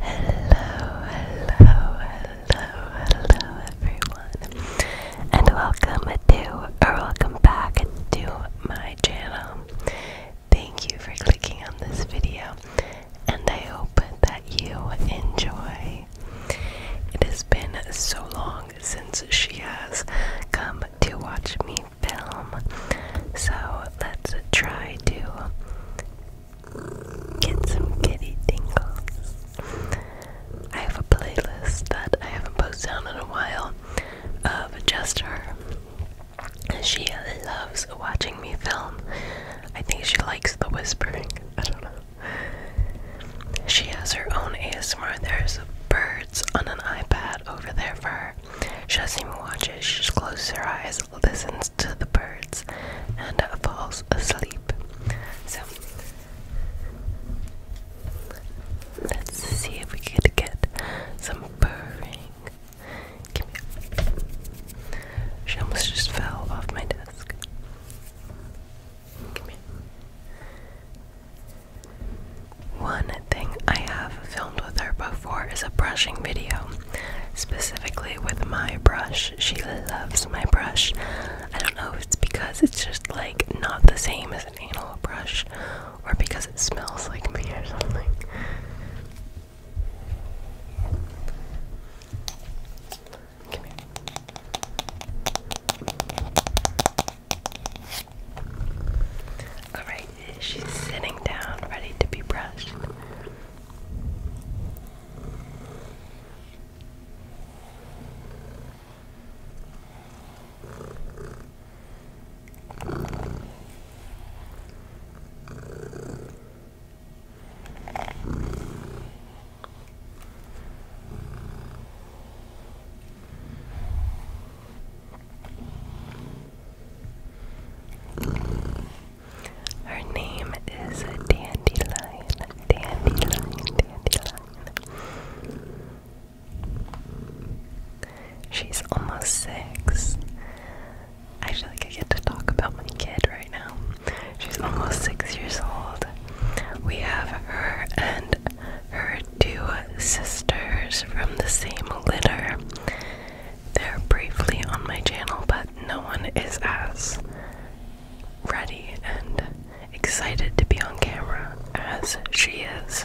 hello, hello, hello everyone, and welcome to, or welcome back to my channel. Thank you for clicking on this video, and I hope that you enjoy. It has been so long since she has come to watch me film, so let's try to get some kitty tingles. I have a playlist that I haven't posted on in a while of just her. She loves watching me film. I think she likes the whispering. I don't know. She has her own ASMR. There's birds on an iPad over there for her. She doesn't even watch it. She just closes her eyes listens to the birds, and falls asleep. So, let's see if we could get some purring. Come here. She almost just fell off my desk. Come here. One thing I have filmed with her before is a brushing video, specifically with my brush. She loves my brush. I don't know if it's because it's just like not the same as an anal brush or because it smells like me or something. Come here. Alright, She's sitting down, ready to be brushed. Her name is Dandelion. Dandelion, Dandelion. She's almost six. I feel like I get to talk about my kid right now. She's almost six years old. We have her and her two sisters from the same litter. They're briefly on my channel, but no one is as ready and excited to be on camera as she is.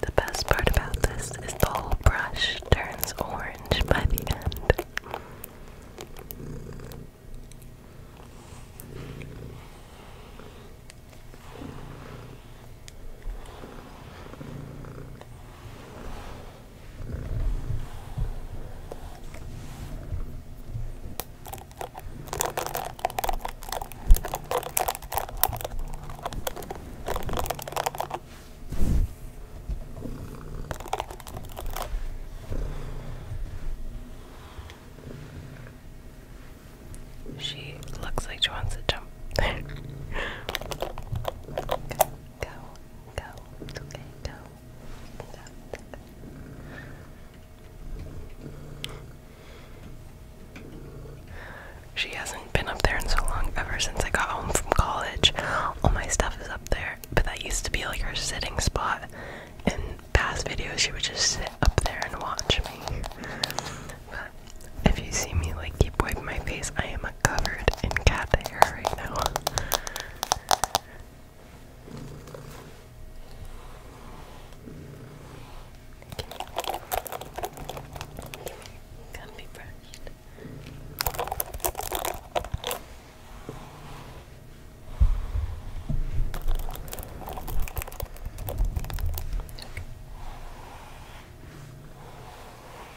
The best part about this is the whole brush turns orange by the end. She looks like she wants to jump. go, Go. okay. Go. Good job. She hasn't been up there in so long, ever since I got home from college. All my stuff is up there, but that used to be like her sitting spot. In past videos, she would just sit up there and watch me. If you see me like keep wiping my face, I am covered in cat hair right now. Okay. be brushed.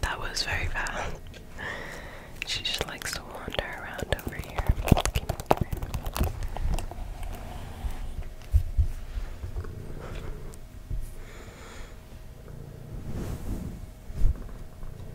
That was very bad. she just likes to wander around over here. Good girl. Good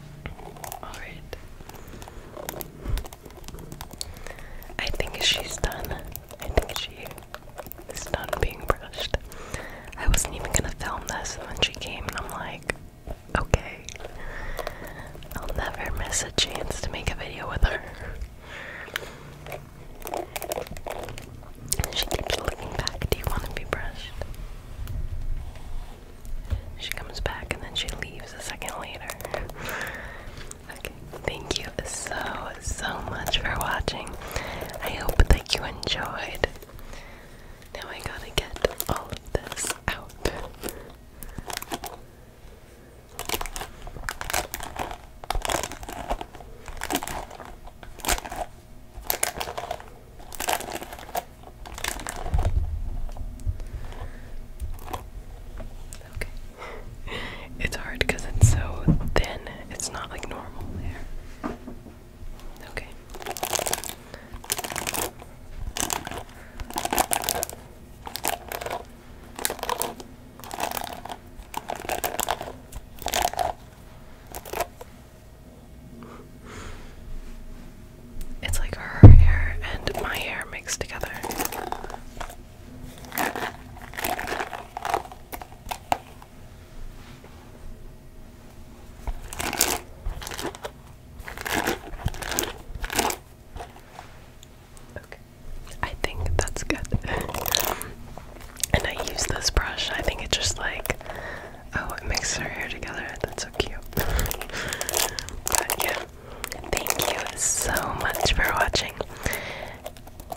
Alright. I think she's done. I think she's done being brushed. I wasn't even gonna film this, and then she came, and I'm like, okay. I'll never miss a chance to make a video with her. She keeps looking back. Do you want to be brushed? She comes back and then she leaves a second later. okay, thank you so, so much for watching. I hope that you enjoyed. Now I gotta get all of this out. it's hard because it's so thin. It's not like normal hair. Okay. It's like her hair and my hair mixed together. Okay. I think that's good. And I use this brush. I think it just like, oh, it makes her hair together. That's so cute. but yeah, thank you so much for watching.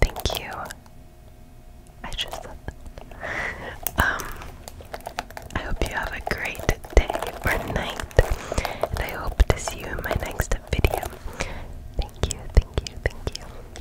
Thank you. I just said that. Um, I hope you have a great day or night. And I hope to see you in my next video. Thank you, thank you, thank you.